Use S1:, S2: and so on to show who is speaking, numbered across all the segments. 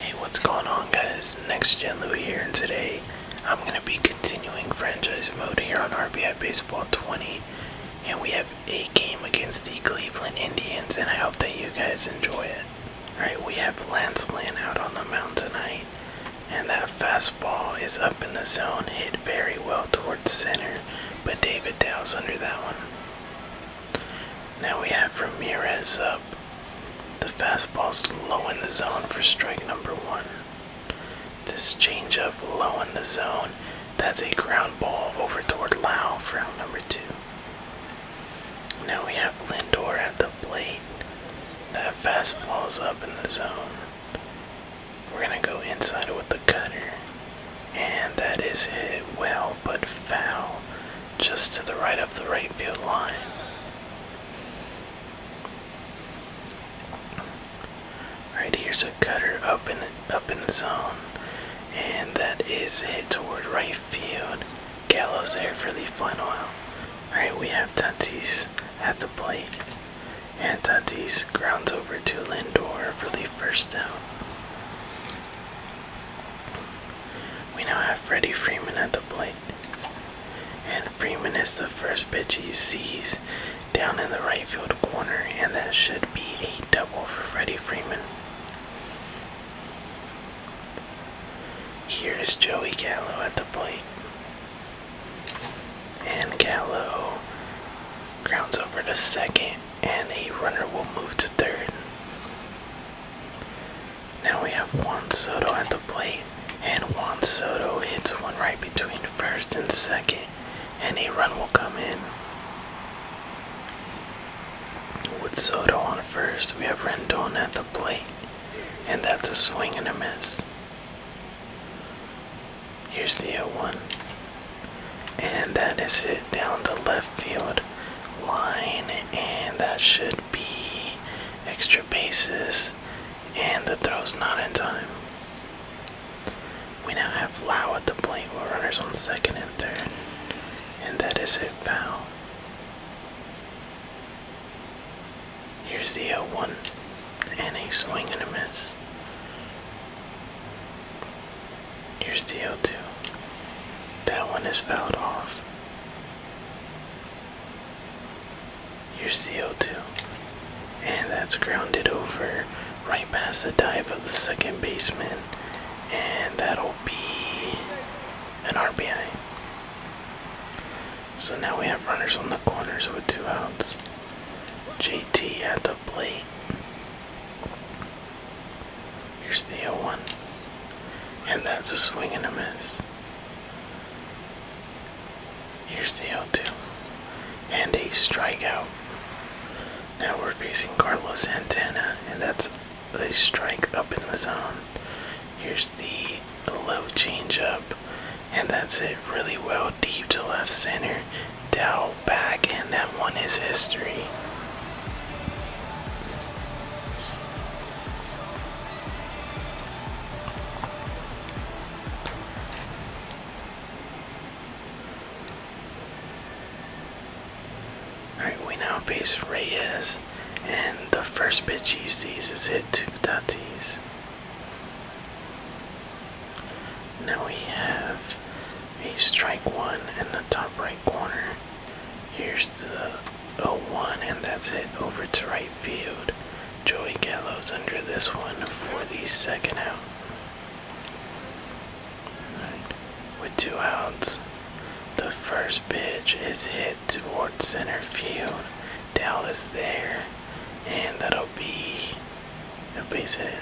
S1: Hey, what's going on guys? Next Gen Louie here and today I'm going to be continuing franchise mode here on RBI Baseball 20 and we have a game against the Cleveland Indians and I hope that you guys enjoy it. Alright, we have Lance Lynn out on the mound tonight and that fastball is up in the zone, hit very well towards center, but David Dow is under that one. Now we have Ramirez up. The fastball's low in the zone for strike number one. This changeup low in the zone. That's a ground ball over toward Lau for out number two. Now we have Lindor at the plate. That fastball's up in the zone. We're gonna go inside with the cutter. And that is hit well but foul just to the right of the right field line. Right here's a cutter up in the, up in the zone, and that is hit toward right field. Gallows there for the final out. All right, we have Tatis at the plate. And Tatis grounds over to Lindor for the first down. We now have Freddie Freeman at the plate. And Freeman is the first pitch he sees down in the right field corner, and that should be a double for Freddie Freeman. Here is Joey Gallo at the plate. And Gallo grounds over to second, and a runner will move to third. Now we have Juan Soto at the plate, and Juan Soto hits one right between first and second, and a run will come in. With Soto on first, we have Rendon at the plate, and that's a swing and a miss. Here's the 0 1. And that is it down the left field line. And that should be extra bases. And the throw's not in time. We now have Lau at the plate with runners on second and third. And that is it, foul. Here's the 0 uh, 1 and a swing and a miss. Here's the 0 2. That one is fouled off. Here's the 0 2. And that's grounded over right past the dive of the second baseman. And that'll be an RBI. So now we have runners on the corners with two outs. JT at the plate. Here's the 0 1. And that's a swing and a miss. Here's the 0 2. And a strikeout. Now we're facing Carlos Santana, and that's a strike up in the zone. Here's the low changeup, and that's it really well deep to left center, down back, and that one is history. Alright, we now face Reyes, and the first pitch he sees is hit to Tatis. Now we have a strike one in the top right corner. Here's the 0-1 and that's it over to right field. Joey Gallo's under this one for the second out. With two outs, the first pitch is hit toward center field. Dallas there, and that'll be a base hit.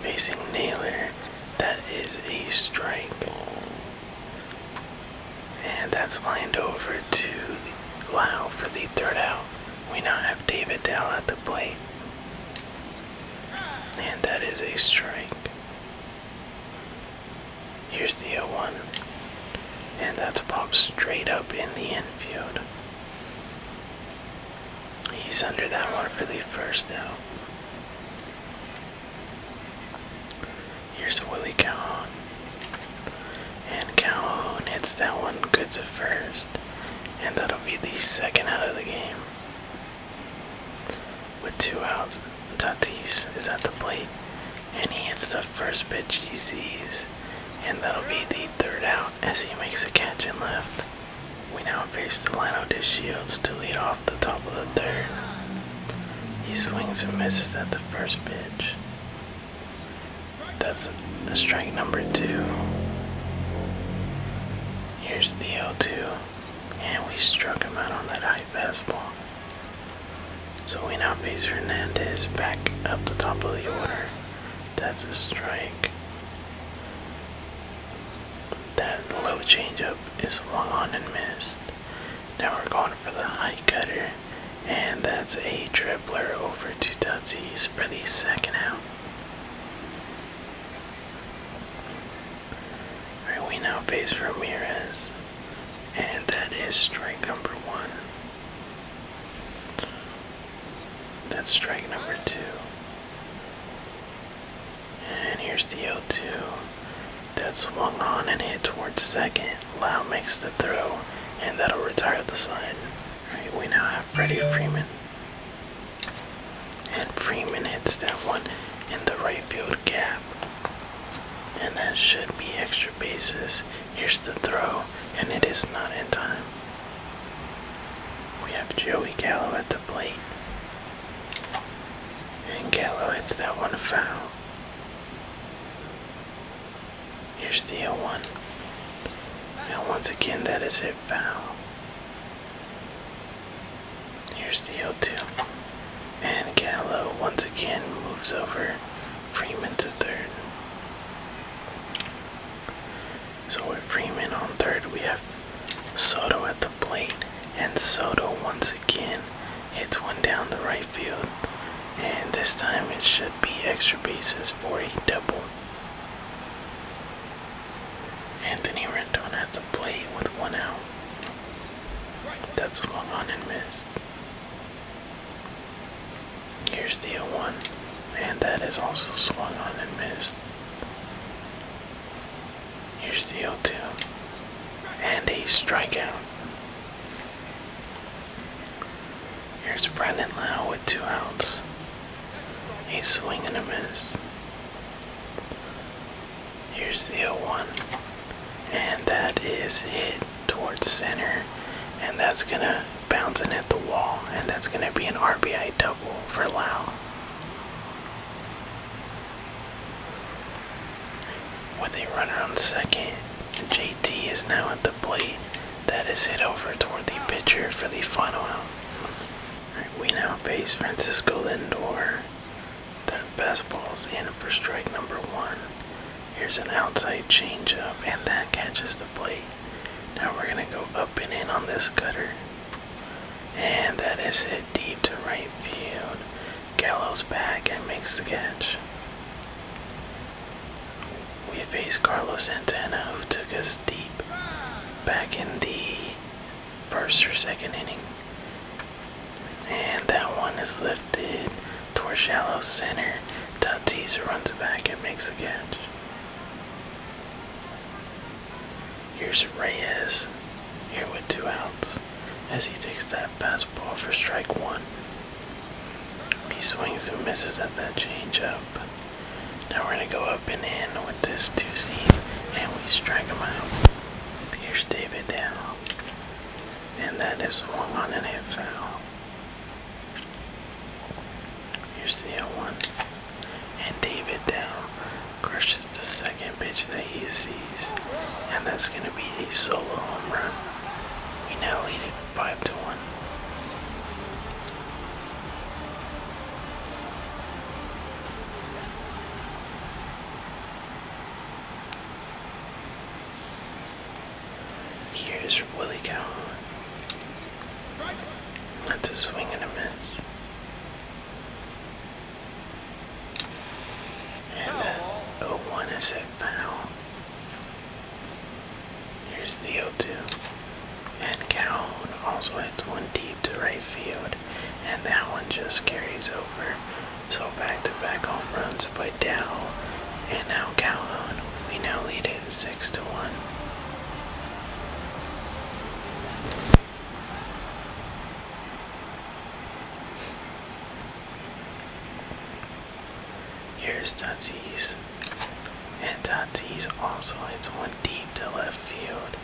S1: Facing Naylor. That is a strike. And that's lined over to the Lau for the third out. We now have David Dow at the plate. And that is a strike. Here's the 0 1. And that's popped straight up in the infield. He's under that one for the first out. Here's Willie Calhoun. And Calhoun hits that one good to first. And that'll be the second out of the game. With two outs, Tatis is at the plate and he hits the first pitch he sees, and that'll be the third out as he makes a catch in left. We now face the lineup to Shields to lead off the top of the third. He swings and misses at the first pitch. That's a strike number two. Here's the 0 2, and we struck him out on that high fastball. So we now face Hernandez back up the top of the order. That's a strike. That low changeup is swung on and missed. Now we're going for the high cutter, and that's a dribbler over to Tatis for the second out. Alright, we now face Ramirez, and that is strike number one. That's strike number two. And here's the 0 2. That swung on and hit towards second. Lau makes the throw, and that'll retire the side. we now have Freddie Freeman. And Freeman hits that one in the right field gap. And that should be extra extra bases. Here's the throw, and it is not in time. We have Joey Gallo at the plate. And Gallo hits that one foul. Here's the 0 1. Now, once again, that is a foul. Here's the 0 2. And Gallo once again moves over Freeman to third. So with Freeman on third, we have Soto at the plate, and Soto once again hits one down the right field, and this time it should be extra bases for a double. Anthony Rendon at the plate with one out. That's swung on and missed. Here's the 0 1, and that is also swung on and missed. Here's the 0 2, and a strikeout. Here's Brandon Lau with two outs. He's swinging and a miss. Here's the 0 1 and that is hit towards center and that's gonna bounce and hit the wall and that's gonna be an RBI double for Lau. With a runner on second, JT is now at the plate. That is hit over toward the pitcher for the final out. we now face Francisco Lindor. That is in for strike number one. Here's an outside changeup, and that catches the plate. Now we're going to go up and in on this cutter. And that is hit deep to right field. Gallows back and makes the catch. We face Carlos Santana, who took us deep back in the first or second inning. And that one is lifted towards shallow center. Tatis runs back and makes a catch. Here's Reyes here with two outs as he takes that fastball for strike one. He swings and misses at that changeup. Now we're going to go up and in with this two seam and we strike him out. Here's David Dow. And that is swung on and hit foul. You see a 1. And David down crushes the second pitch that he sees. And that's going to be a solo home run. We now lead it 5 to 1. Here's from Willie Calhoun. That's a swing and a miss. And that 0-1 is hit foul. Here's the 0-2. And Calhoun also hits one deep to right field. And that one just carries over so back-to-back home runs by Dell and now Calhoun. We now lead it six to one. Here's Tatis. And Tatis also hits one deep to left field.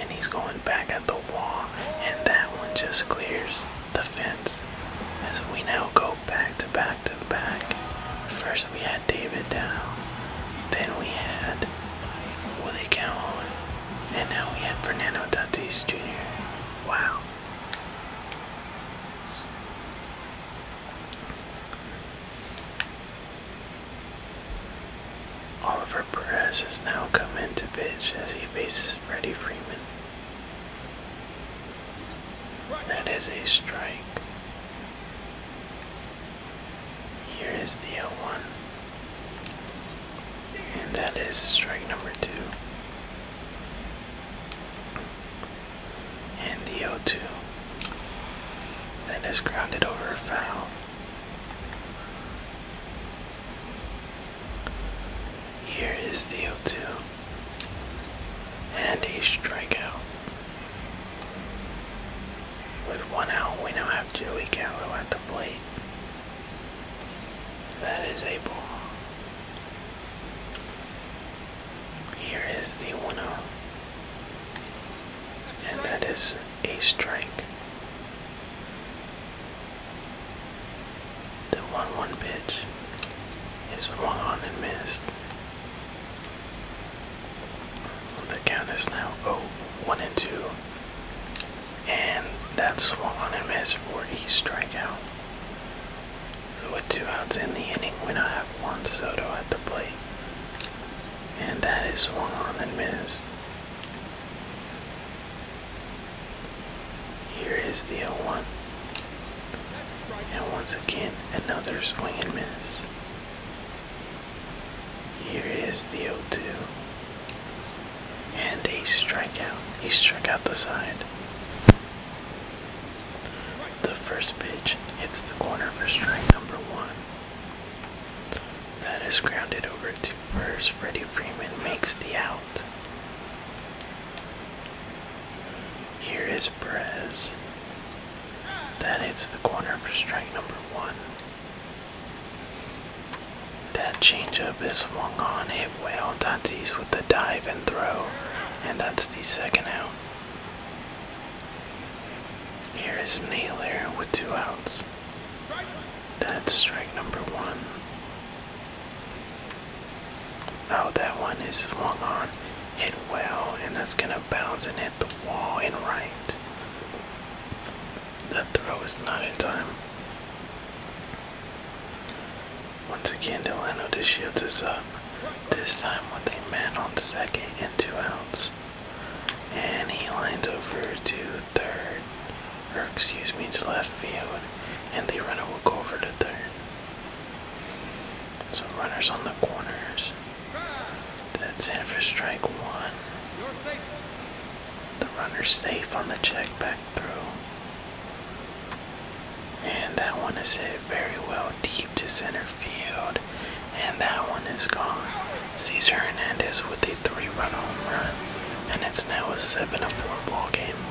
S1: And he's going back at the wall. And that one just clears the fence as we now go back to back to back. First we had David down, then we had Willie Calhoun, and now we had Fernando Tatis Jr. Wow. Oliver Perez has now come into pitch as he faces Freddie Freeman. That is a strike. Here is the 0 1. And that is strike number 2. And the 0 2. That is grounded over a foul. Here is the 0 2 and a strikeout. With one out, we now have Joey Gallo at the plate. That is a ball. Here is the 1 out, And that is a strike. The 1 1 pitch is swung on and missed. The count is now 0 1 and 2. And that's swung on and missed for a strikeout. So, with two outs in the inning, we now have Juan Soto at the plate. And that is swung on and missed. Here is the 0 1. And once again, another swing and miss. Here is the 0 2. And a strikeout. He struck out the side. The first pitch hits the corner for strike number one. That is grounded over to first. Freddie Freeman makes the out. Here is Perez. That hits the corner for strike number one. That changeup is swung on, hit well. Tatis with the dive and throw, and that's the second out. Here is Naylor with two outs. That's strike number one. Oh, that one is swung on, hit well, and that's going to bounce and hit the wall and right. That throw is not in time. Once again, Delano DeShields is up, this time with a man on second and two outs. And he lines over to third or excuse me, to left field, and the runner will go over to third. Some runners on the corners. That's in for strike one. The runner's safe on the check back through. And that one is hit very well deep to center field. And that one is gone. Cesar Hernandez with a three-run home run. And it's now a 7-4 to ball game.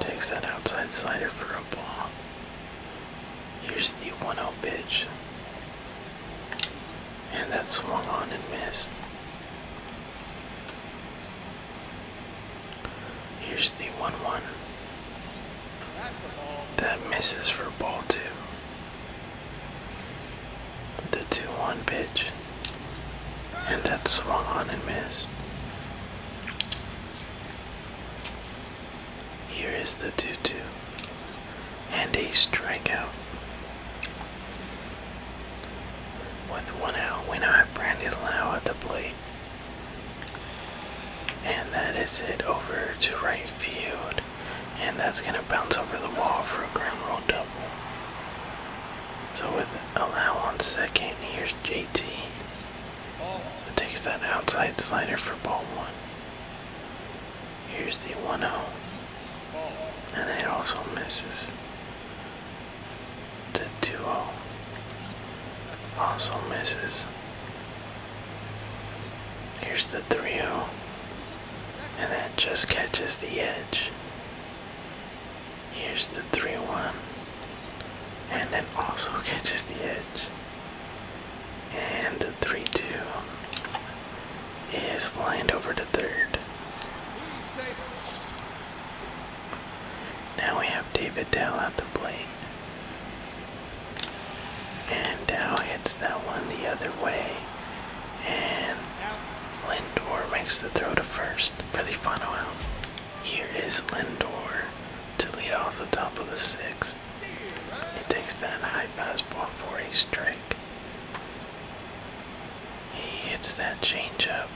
S1: Takes that outside slider for a ball. Here's the 1 0 pitch. And that swung on and missed. Here's the 1 1. That misses for ball 2. The 2 1 pitch. And that swung on and missed. Here is the 2 2. And a strikeout. With one out, we now have Brandy Lau at the plate. And that is hit over to right field. And that's going to bounce over the wall for a ground roll double. So with oh, allowance second, here's JT. takes that outside slider for ball one. Here's the 1-0. And it also misses. The 2-0. Also misses. Here's the 3-0. And that just catches the edge. Here's the 3 1. And then also catches the edge. And the 3 2 is lined over to third. Now we have David Dell at the plate. And Dow hits that one the other way. And Lindor makes the throw to first for the final out. Here is Lindor to lead off the top of the sixth. He takes that high fastball for a strike. He hits that changeup,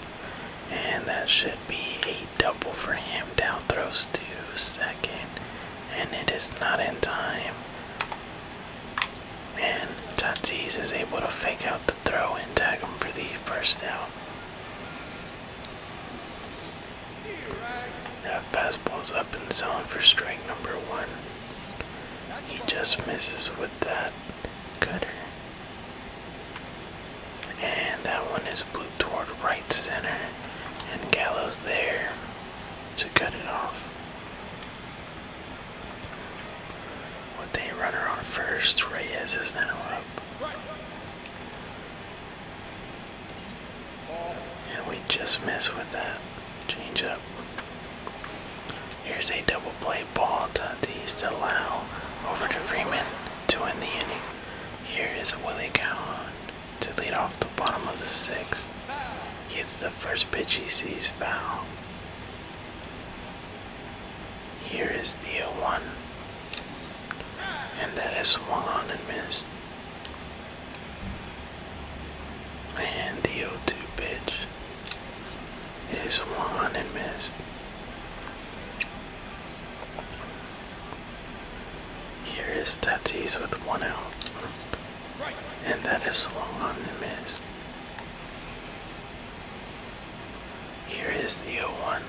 S1: and that should be a double for him. Down throws to second, and it is not in time. And Tatis is able to fake out the throw and tag him for the first down. That fastball is up in the zone for strike number one. He just misses with that cutter. And that one is blew toward right center. And Gallows there to cut it off. With the runner on first, Reyes is now up. And we just miss with that change up. Here's a double play ball to Tatis to allow over to Freeman to win the inning. Here is Willie Calhoun to lead off the bottom of the sixth. He hits the first pitch he sees foul. Here is the 1. And that is swung on and missed. And the 0 2 pitch is swung on and missed. Here is Tatis with one out, and that is swung on and missed. Here is the 0-1.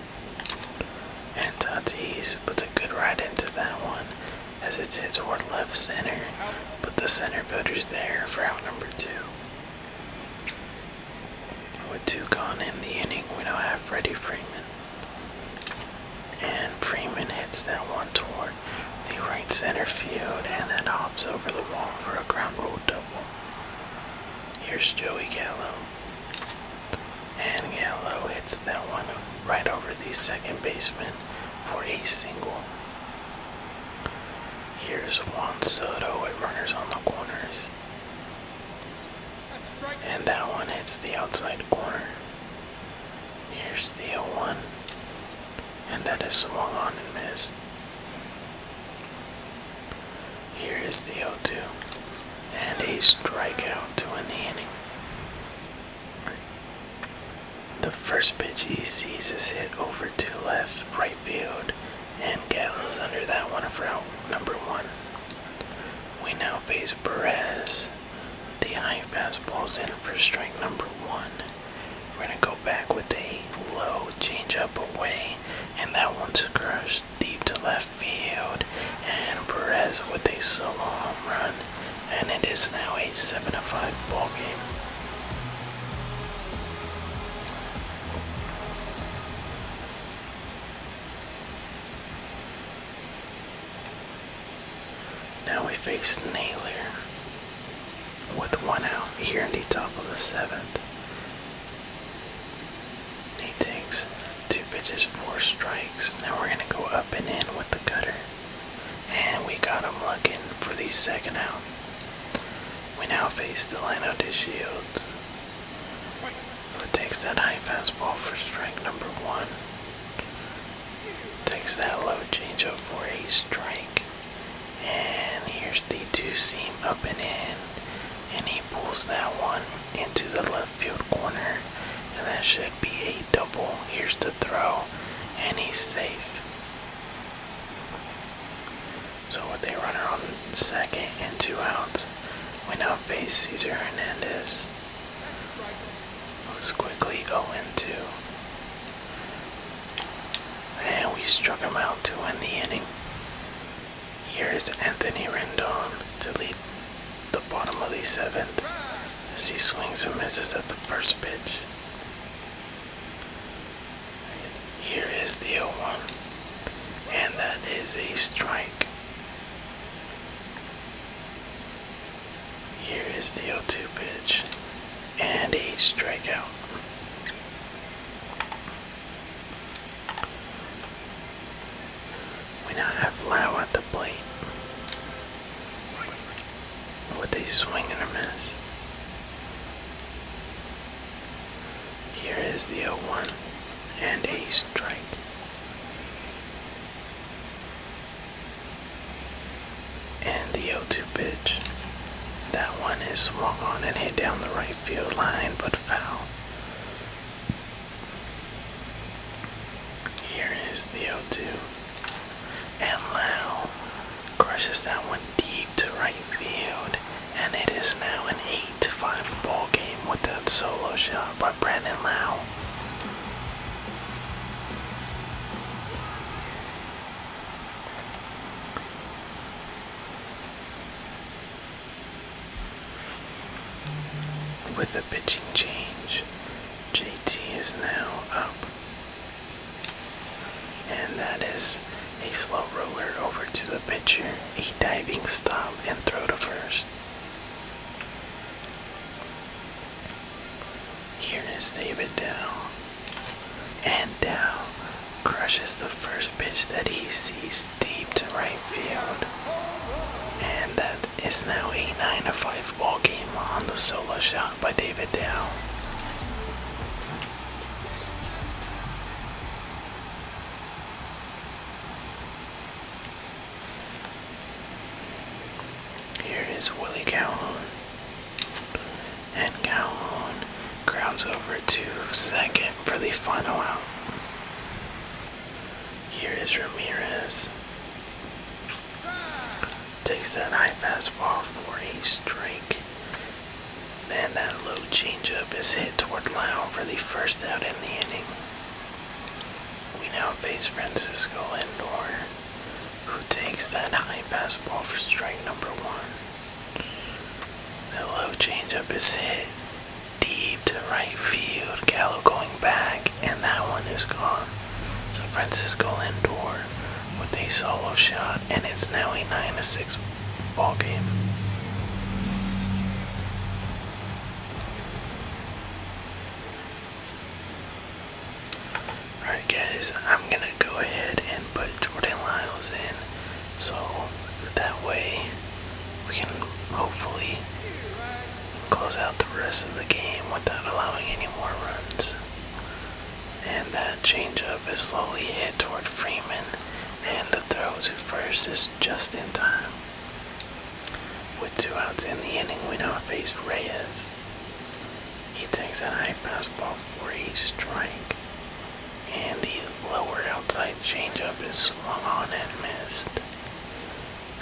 S1: And Tatis puts a good ride into that one as it hits toward left center, but the center fielder's there for out number two. With two gone in the inning, we now have Freddie Freeman. And Freeman hits that one toward the right center field, and then hops over the wall for a ground rule double. Here's Joey Gallo. And Gallo hits that one right over the second baseman for a single. Here's Juan Soto with runners on the corners. And that one hits the outside corner. Here's the 0 1 and that is swung on and missed. Here is the 0 2, and a strikeout to win the inning. The first pitch he sees is hit over to left, right field, and Gallo's under that one for out number one. We now face Perez. The high fastball's in for strike number one. We're gonna go back with a low changeup away, and that one one's crush deep to left field. And Perez with a solo home run, and it is now a 7 5 ball game. Now we face Naylor with one out here in the top of the seventh. He takes two pitches, four strikes. Now we're going to go up and in with the cutter. And we got him looking for the second out. We now face the Delano De Shields, who takes that high fastball for strike number one. Takes that low changeup for a strike. And here's the two seam up and in. And he pulls that one into the left field corner. And that should be a double. Here's the throw. And he's safe. So with a runner on second and two outs, we now face Cesar Hernandez, who's quickly 0-2. And we struck him out to end the inning. Here's Anthony Rendon to lead the bottom of the seventh as he swings and misses at the first pitch. Here is the 0 1, and that is a strike. Here is the 0 2 pitch, and a strikeout. We now have Lau at the plate with a swing and a miss. Here is the 0 1 and a strike. And the 0 2 pitch. That one is swung on and hit down the right field line, but foul. Here is the 0 2. And Lau crushes that one deep to right field. And it is now an 8 5 ball game with that solo shot by Brandon Lau. With a pitching change, JT is now up. And that is a slow roller over to the pitcher, a diving stop, and throw to first. Here is David down and down crushes the first pitch that he sees deep to right field. And that is now a 9 to 5 ball game on the solo shot by David Dow. Here is Willie Calhoun. And Calhoun grounds over to second for the final out. Here is Ramirez. Takes that high fastball for a strike. And that low changeup is hit toward Lau for the first out in the inning. We now face Francisco Lindor. Who takes that high fastball for strike number one? The low changeup is hit deep to right field. Gallo going back, and that one is gone. So Francisco Lindor with a solo shot, and it's now a 9 to 6 ball game. Alright guys, I'm gonna go ahead and put Jordan Lyles in so that way we can hopefully close out the rest of the game without allowing any more runs. And that changeup is slowly hit toward Freeman and the throw to first is just in time. With two outs in the inning, we now face Reyes. He takes that high fastball for a strike, and the lower outside changeup is swung on and missed.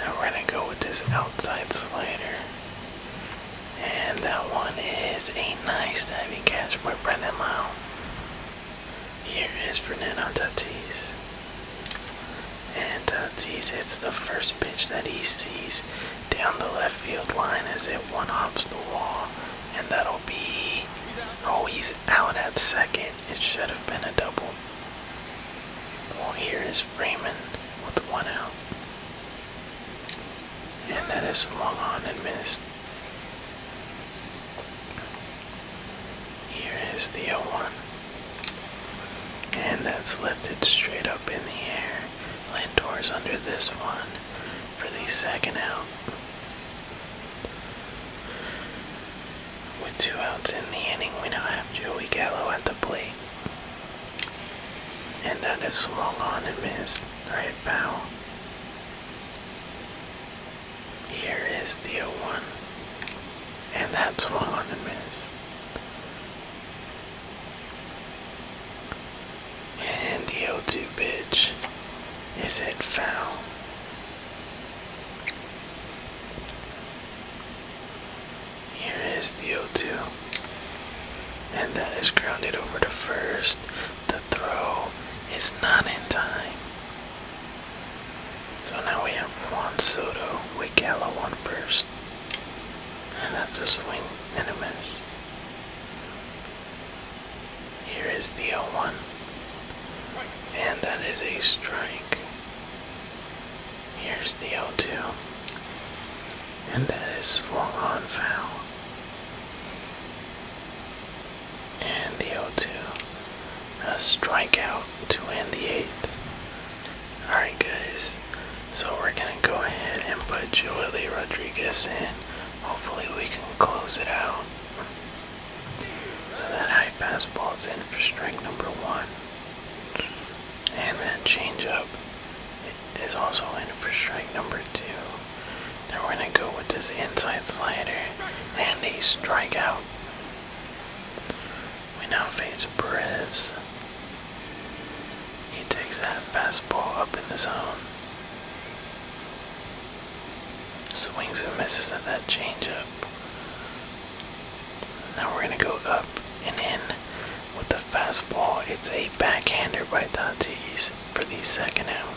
S1: Now we're gonna go with this outside slider, and that one is a nice diving catch by Brendan Lau. Here is Fernando Tatis, and Tatis hits the first pitch that he sees, down the left field line as it one hops the wall, and that'll be. Oh, he's out at second. It should have been a double. Well, here is Freeman with one out. And that is swung on and missed. Here is the 0 1. And that's lifted straight up in the air. Lindor's under this one for the second out. With two outs in the inning, we now have Joey Gallo at the plate. And that is swung on and missed, or hit foul. Here is the 0 1. And that swung on and missed. And the 0 2 bitch, is hit foul. Here is the 0 2. And that is grounded over the first. The throw is not in time. So now we have Juan Soto with Gallo on first. And that's a swing and a miss. Here is the 0 1. And that is a strike. Here's the 0 2. And that is swung on foul. And the 0 2. A strikeout to end the 8th. Alright, guys. So we're gonna go ahead and put Joey Rodriguez in. Hopefully we can close it out. So that high fastball is in for strike number one. And that changeup is also in for strike number two. Now we're gonna go with this inside slider and a strikeout. We now face Perez. He takes that fastball up in the zone. Swings and misses at that changeup. Now we're going to go up and in with the fastball. It's a backhander by Tatis for the second out.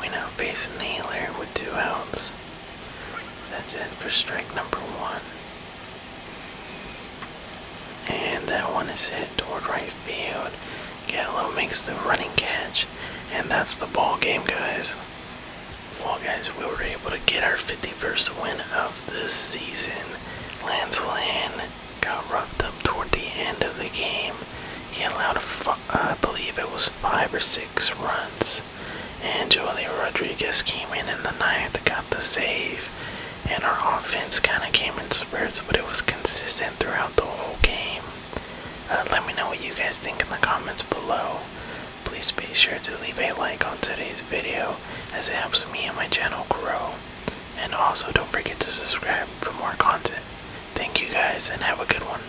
S1: We now face Naylor with two outs. That's it for strike number one. And that one is hit toward right field. Gallo makes the running catch. And that's the ball game, guys. Well, guys, we were able to get our 51st win of the season. Lance Lynn got roughed up toward the end of the game. He allowed, a, I believe it was five or six runs. And Julie Rodriguez came in in the ninth, got the save, and our offense kind of came in spurts, but it was consistent throughout the whole game. Uh, let me know what you guys think in the comments below. Please be sure to leave a like on today's video as it helps me and my channel grow. And also, don't forget to subscribe for more content. Thank you guys and have a good one.